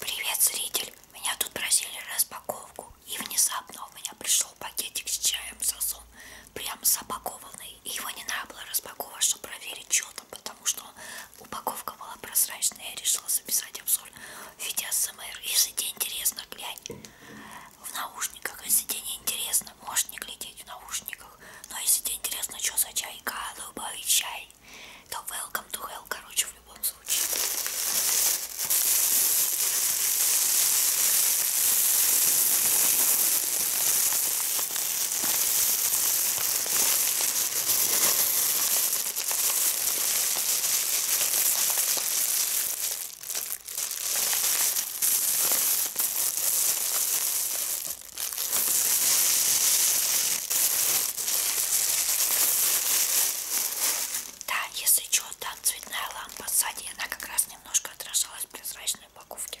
Привет, зритель! Меня тут просили распаковку, и внезапно у меня пришел пакетик с чаем сосун, прям запакованный. И его не надо было распаковывать, чтобы проверить, что там, потому что упаковка была прозрачная. Я решила записать обзор в виде АСМР. Если тебе интересно, глянь в наушниках. Если тебе не интересно, можешь не глядеть в наушниках. Но если тебе интересно, что за чай, голубой чай, Окей. То welcome to hell, короче, в любом случае. Да, если что, там цветная лампа сзади, она как раз немножко отражалась в прозрачной упаковке.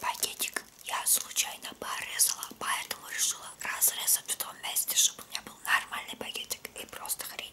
Пакетик я случайно порезала, поэтому решила разрезать в том месте, чтобы у меня был нормальный пакетик и просто хрень.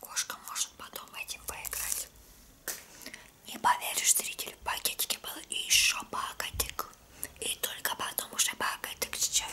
Кошка может потом этим поиграть. Не поверишь, зритель, в пакетике был еще пакетик. И только потом уже пакетик с чаем.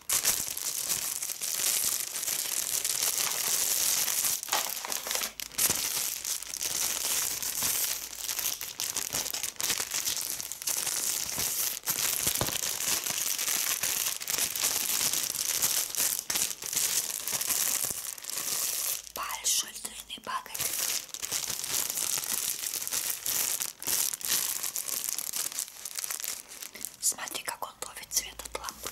большой длинный пакет. Смотри, как он ловит цвет от лампы.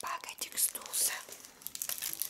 Пакетик сдулся.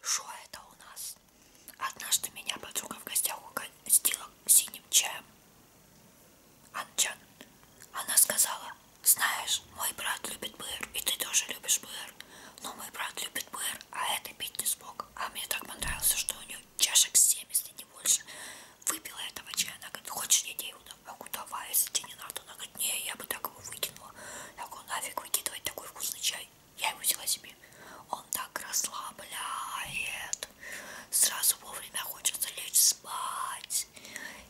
Что это у нас? Однажды меня подруга в гостях угостила синим чаем. Анчан. Она сказала, знаешь, мой брат любит быр, и ты тоже любишь быр. Но мой брат любит быр, а это пить не смог. А мне так понравился, что у нее чашек 7, если а не больше выпила этого чая, она говорит, «Ну, хочешь не делаю? Я говорю, давай, если тебе не надо. Она говорит, не, я бы так его выкинула. Я говорю, нафиг выкидывать такой вкусный чай. Я его взяла себе. Он так расслабляет. Сразу вовремя хочется лечь спать.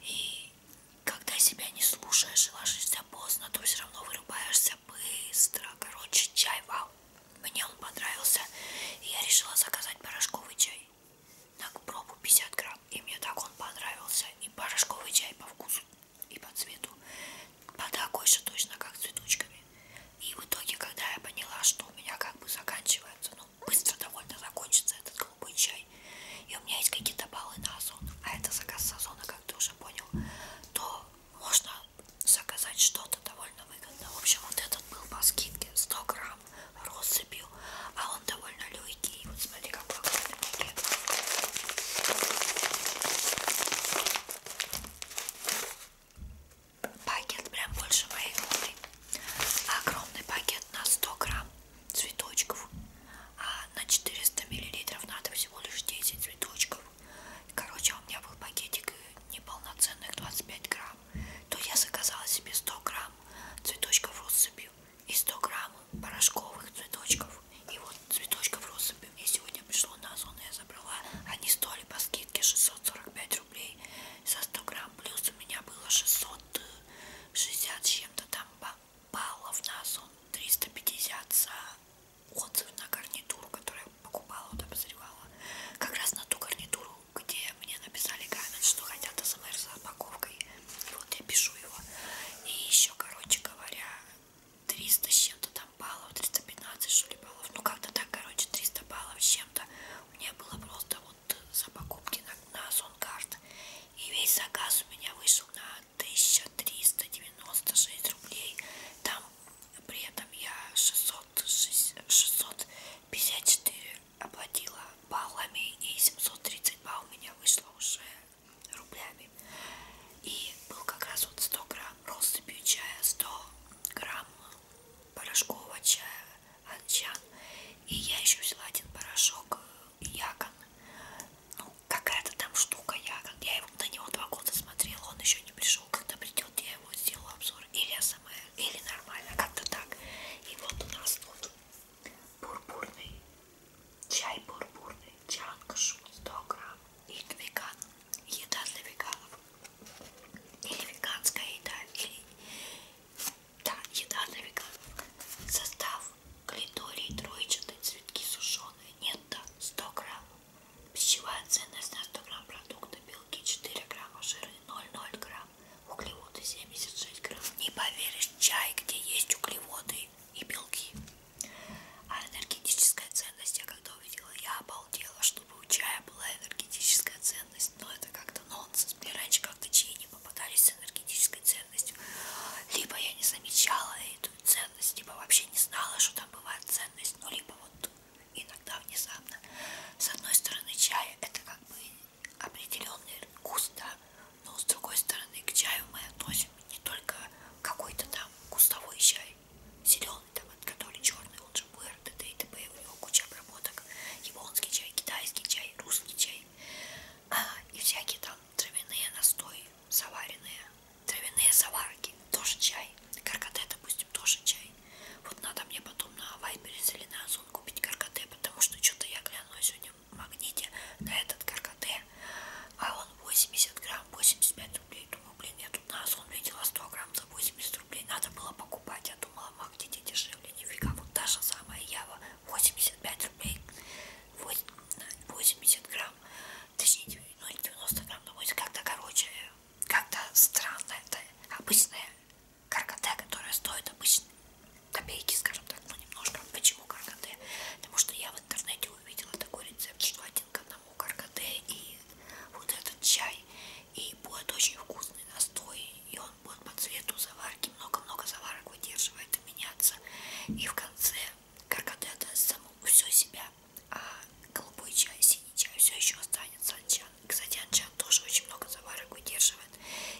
И когда себя не слушаешь и ложишься поздно, то все равно вырубаешься быстро. Короче, чай вау. Мне он понравился. И я решила заказать порошковый чай на пробу 50 грамм. И мне так он понравился. И порошковый чай по вкусу, и по цвету. По такой же точно, как с цветочками. И в итоге, когда я поняла, что у меня как бы заканчивается, ну, быстро довольно закончится этот голубой чай, и у меня есть какие-то баллы на озон, а это заказ с озона, как ты уже понял, то можно заказать что-то довольно выгодно. В общем, вот этот был по скидке 100 грамм грамм россыпью, а он довольно легкий. И вот смотри, какой классный пакет. Пакет прям больше моей головы. Огромный пакет на 100 грамм цветочков, а на 400 миллилитров надо всего лишь 10 цветочков. Короче, у меня был пакетик неполноценных 25 грамм грамм, то я заказала себе 100 грамм цветочков россыпью и 100 грамм порошковых цветочков. И вот цветочков россыпью мне сегодня пришло на озон, я забрала. Они стоили по скидке 645 рублей за 100 грамм. Плюс у меня было 660 с чем-то там баллов на озон. 350 за отзыв на гарнитуру, которую я покупала, вот обозревала. Как раз на ту гарнитуру где мне написали коммент, что хотят АСМР с упаковкой. Вот я пишу его. И еще, короче говоря, 300 с чем-то там баллов, 315 что ли баллов. Ну как-то так, короче, 300 баллов с чем-то. У меня было просто вот за покупки на, на Сонкарт. И весь заказ у меня вышел на 1396 рублей. Там при этом я 600, 654 оплатила баллами и 730 балл у меня вышло уже рублями и был как раз вот 100 грамм россыпью чая 100 грамм порошкового чая анчан и я еще взяла один порошок э, якон ну какая-то там штука якон я его на него два года смотрела он еще не пришел когда придет я ему сделаю обзор или СМР, или нормально, как-то так. И вот у нас тут бурбурный, чай бурбурный, чанка шум 100 грамм, и веган, еда для веганов, или веганская еда, или да, еда для веганов. Состав глиторий, троечатые, цветки сушеные, нет, да, 100 грамм. Пищевая ценность на 100 грамм продукта, белки 4 грамма, жиры 0,0 грамм грамм, углеводы 76 грамм. Не поверишь, чай, где есть углеводы и белки. А энергетическая ценность, я когда увидела, я обалдела, чтобы у чая была энергетическая ценность. Но это как-то нонсенс. Мне раньше как-то чаи не попадались с энергетической ценностью. Либо я не замечала эту ценность, либо вообще не знала, что там бывает ценность. Ну, либо вот иногда внезапно. С одной стороны, чай это как бы определенный вкус, да, но с другой стороны, к чаю мы относим не только какой-то там кустовой чай, зеленый там, который черный, он же БР, ДД и т.п. У него куча обработок. Японский чай, китайский чай, русский чай. А, и всякие там травяные настои, заваренные. Травяные заварки, тоже чай. Каркаде, допустим, допустим, тоже чай. Вот надо мне потом на Вайберис или на Озон купить каркате, потому что что-то я глянула сегодня в магните на этот каркате, а он 80 грамм, 85 рублей. Думаю, блин, я тут на Озон видела 100 грамм за 80 рублей, надо было покупать. Я думала, в магните дешевле, нифига. Вот та же самая Ява, 85 рублей, 80 грамм, точнее, ну 90 грамм, думаю, ну, как-то, короче, как-то странно это, обычная каркаде, которая стоит обычно копейки, скажем так, ну немножко. Почему каркаде? Потому что я в интернете увидела такой рецепт, что один к одному каркаде и вот этот чай. И будет очень вкусный настой, и он будет по цвету заварки, много-много заварок выдерживает и меняться. И в конце каркаде отдаст саму все себя, а голубой чай, синий чай все еще останется от чая. Кстати, Анчан тоже очень много заварок выдерживает.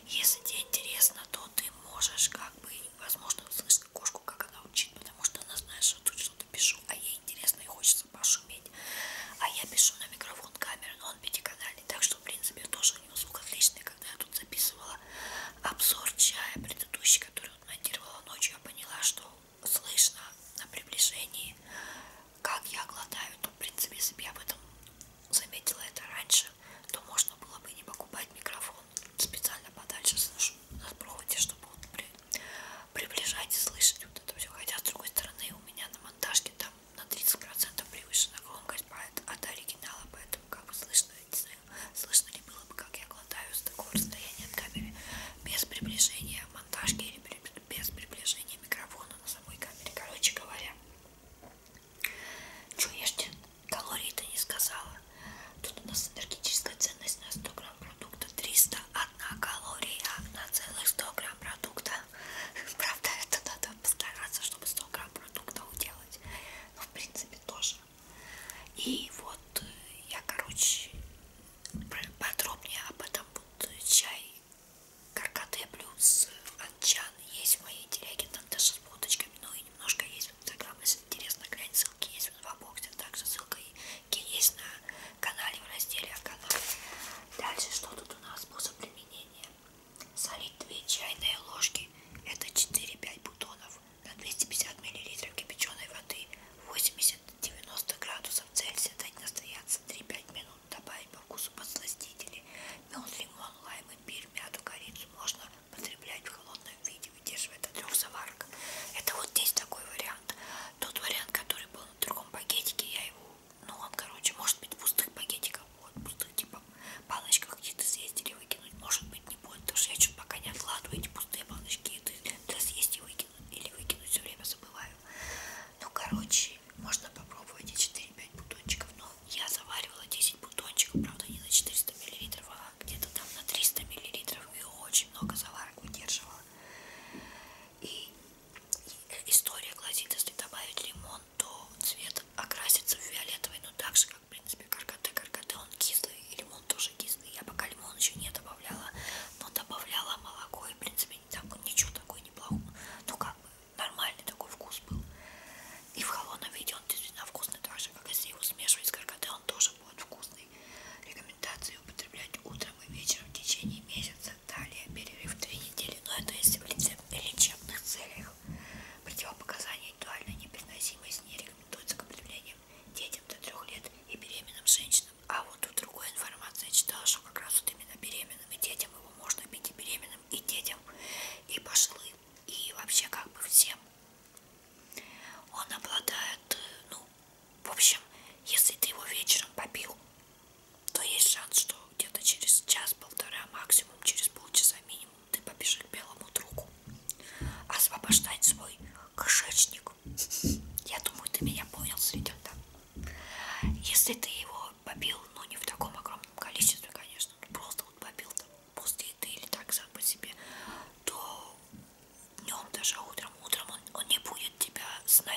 Если тебе интересно, то ты можешь как бы, возможно, услышать кошку, как она учит, потому что она знает, что тут что-то пишу, а ей интересно и хочется пошуметь. А я пишу на микрофон камеры, но он пятиканальный, так что, в принципе, тоже у него звук отличный. Когда я тут записывала обзор чая предыдущий, который он монтировала ночью, я поняла, что слышно на приближении как я глотаю, то ну, в принципе, если бы я об этом заметила это раньше, то можно было бы не покупать микрофон. Специально подальше на проводе, чтобы он при... приближать и слышать вот это все. Хотя, с другой стороны, у меня на монтажке там на 30% превышена громкость а от оригинала, поэтому как бы слышно, не знаю, слышно ли было бы, как я глотаю с такого расстояния от камеры без приближения монтажки или без приближения микрофона. На самой камере. Короче говоря, что ешьте? Калорий-то не сказала. Тут у нас энергетическая ценность на 100 грамм продукта 301 калория на целых 100 грамм продукта. Правда, это надо постараться, чтобы 100 грамм продукта уделать. Ну, в принципе, тоже. И вот э, я, короче, подробнее об этом буду чай каркаты плюс э, анчан есть в моей телеге, там даже с фоточками, ну и немножко есть в инстаграм, если интересно, глянь, ссылки есть в инфобоксе, а также ссылка есть на канале в разделе о а канале. Дальше, что тут у нас, способ применения. Солить 2 чайные ложки, это 4-5 бутонов, на 250 мл кипяченой воды, 80-90 градусов Цельсия, дать настояться 3-5 минут добавить по вкусу подсластители. Мед, лимон, лайм, имбирь, мяту, корицу можно потреблять в холодном виде, выдерживает от трех заварок. Это вот здесь такой вариант. Тот вариант, который был на другом пакетике, я его, ну он, короче, может быть в пустых пакетиках, вот, пустых типа баночках где-то съесть или выкинуть, может быть не будет, потому что я что-то пока не откладываю эти пустые баночки, и ты, ты съесть и выкинуть, или выкинуть все время забываю. Ну, короче, можно попробовать эти 4-5 бутончиков. Но я заваривала 10 бутончиков, правда, не на 400 мл, а где-то там на 300 мл. И очень много заварок выдерживала. И история гласит, если добавить лимон, то цвет окрасится в фиолетовый, но ну, так же, как, в принципе, каркоте. Каркоте он кислый, и лимон тоже кислый. Я пока лимон еще не добавляла, но добавляла молоко и, в принципе, себе там ничего такой неплохого, ну как бы нормальный такой вкус был. И в холодном виде он действительно вкусный, так же, как если его смешивать с каркатой, он тоже будет вкусный. Рекомендации употреблять утром и вечером в течение месяца, далее перерыв 2 недели, но это если в лечебных целях. Противопоказания индивидуальной непереносимости не рекомендуется к употреблению детям до 3 лет и беременным женщинам. А вот тут другой информации я читала, что как раз вот именно беременным и детям его можно пить и беременным, и детям, и пошлым, и вообще как бы всем. Он обладает, ну, в общем, если ты его вечером попил, то есть шанс, что где-то через час-полтора, максимум через полчаса минимум, ты попишешь к белому другу. Освобождать свой кошечник. Я думаю, ты меня понял, Светенда. Если ты его побил, но не в таком огромном количестве, конечно, просто вот побил там после еды или так сам по себе, то днем, даже утром, утром он, он не будет тебя сна...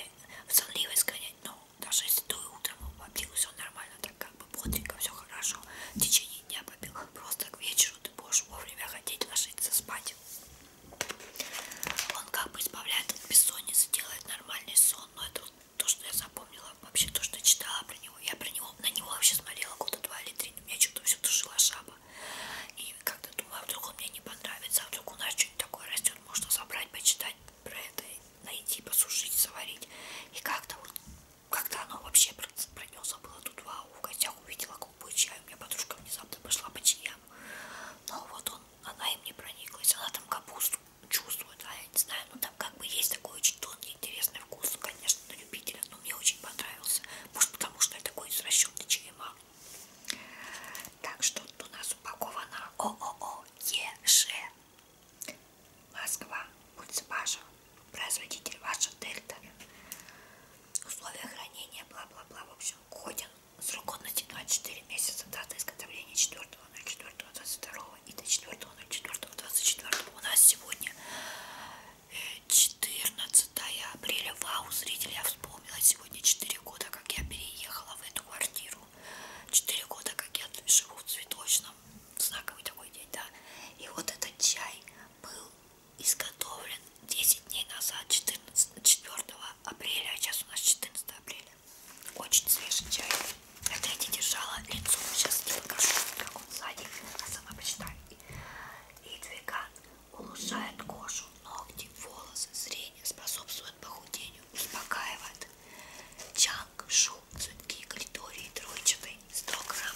в сонливость гонять, но даже если ты утром побил, все нормально, так как бы бодренько, все хорошо, в течение дня побил, просто к вечеру ты будешь вовремя хотеть ложиться спать. Он как бы избавляет от бессонницы, делает нормальный сон, но ну, это вот то, что я запомнила, вообще то, что читала про него. Я про него, на него вообще смотрела года два или три, меня что-то все душила шаба. И как-то думаю, а вдруг он мне не понравится, а вдруг у нас что-нибудь такое растет, можно собрать, почитать про это, найти, посушить, заварить. И как-то вот, как-то оно вообще про него забыла тут вау, в гостях увидела голубой чай, у меня подружка внезапно пошла по чаям. Но вот он, она им не прониклась, она там капусту чувствуют, а я не знаю, ну там как бы есть такой очень тонкий, интересный вкус, конечно, на любителя, но мне очень понравился, может потому что я такой извращенный черема. Так, что тут у нас упаковано ООО ЕШ Москва, улица Паша, производитель ваша Дельта, условия хранения, бла-бла-бла, в общем, годен Срок годности 24 месяца, дата изготовления 4.04.22 и до 4.04.24. У нас сегодня 14 э, апреля. Вау, зрители, я вспомнила сегодня 4 года, как я переехала в эту квартиру. 4 года, как я живу в цветочном. Знаковый такой день, да. И вот этот чай был изготовлен 10 дней назад, 14, 4 апреля, а сейчас у нас 14 апреля. Очень свежий чай. Это я не держала лицо. Сейчас не покажу, как он сзади, а сама почитаю. И двиган улучшает кожу, ногти, волосы, зрение, способствует похудению, успокаивает. Чанг, шум, цветки, калитории, тройчатый, 100 грамм.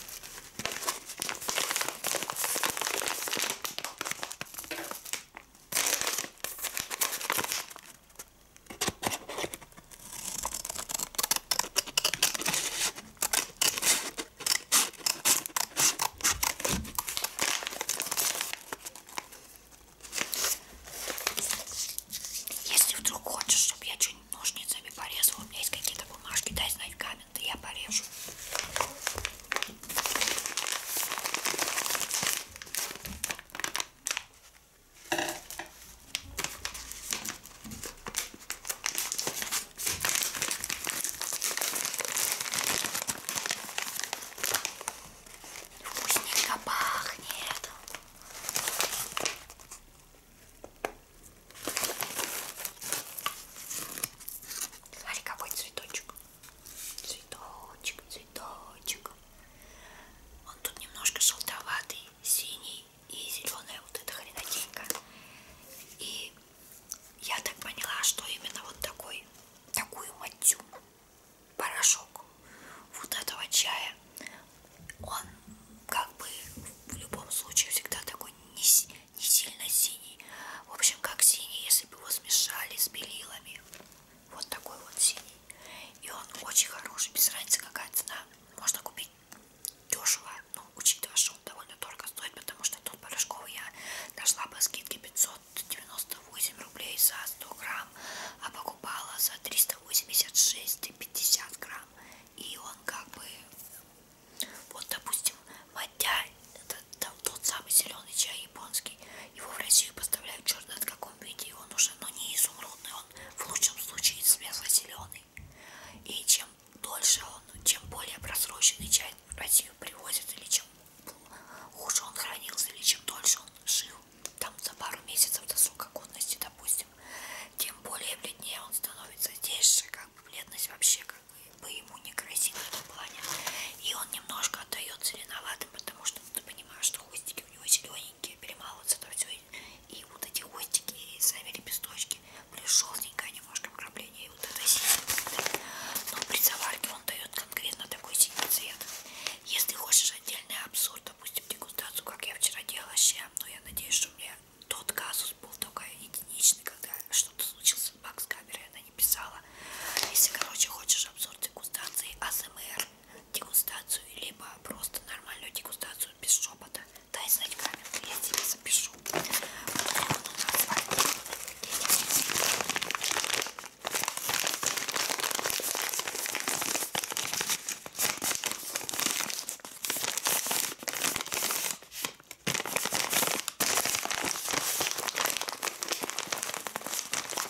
Если вдруг хочешь, чтобы я что-нибудь ножницами порезала, у меня есть какие-то бумажки, дай знать в комменты, я порежу. Вкусненько пахнет. Смотри, какой цветочек. Цветочек, цветочек. Он тут немножко желтоватый, синий и зеленая вот эта хренотенька. И я так поняла, что именно вот такой, такую матью, порошок вот этого чая, он как бы в любом случае всегда такой не, не сильно синий. В общем, как синий, если бы его смешали с белилами. Вот такой вот синий. И он очень хороший, без разницы какая цена. Можно купить дешево, но учитывая, что он довольно дорого стоит, потому что тут порошковый я нашла по скидке 598 рублей за 100 грамм, а покупала за 386,50 грамм. И он как бы, вот допустим, маття, это там, тот самый зеленый чай японский, его в Россию поставляют черт знает в каком виде, и он уже, но ну, не изумрудный, он в лучшем случае светло-зеленый. И чем дольше он, чем более просроченный чай в Россию привозят, или чем хуже он хранился, или чем дольше он жил, там за пару месяцев до срока годности, допустим, тем более бледнее он становится. Здесь же как бы бледность вообще как бы ему не грозит в этом плане. И он немножко отдает зеленоват мохнатым, потому что ну, ты понимаешь, что хвостики у него зелененькие, перемалываются там все. И вот эти хвостики, и сами лепесточки, плюс желтенькое немножко вкрапление, и вот это синий. Но при заварке он дает конкретно такой синий цвет. Если хочешь отдельный обзор, допустим, дегустацию, как я вчера делала с чем, но я надеюсь, что у меня тот казус был только единичный, когда что-то случилось с бакс камерой, она не писала. Если, короче, хочешь обзор дегустации АСМР, дегустацию, либо просто нормальную дегустацию без шепота. Дай знать камеру, я тебе запишу.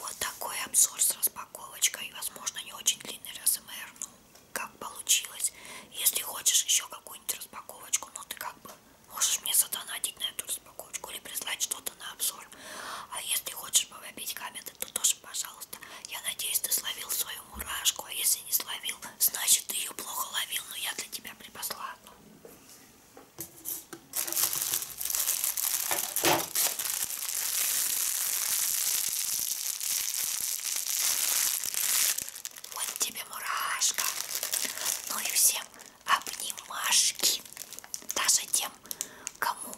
Вот такой обзор с распаковочкой. Возможно, не очень длинный РСМР, эм ну, как получилось. Если хочешь еще какую-нибудь распаковочку, ну, ты как бы можешь мне задонатить на эту распаковочку или прислать что-то на обзор. А если хочешь повопить комменты, то тоже, пожалуйста. Я надеюсь, ты словил свою мурашку, а если не словил, значит, ты ее плохо ловил, но я для тебя припасла одну. Вот тебе мурашка. Ну и всем обнимашки. Даже тем, кому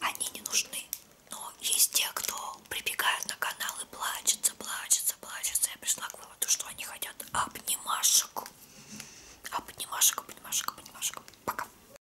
они не нужны. Но есть те, кто прибегают на канал и плачутся, плачутся, плачутся. Я пришла к выводу, что они хотят обнимашек. Обнимашек, обнимашек, обнимашек. Пока.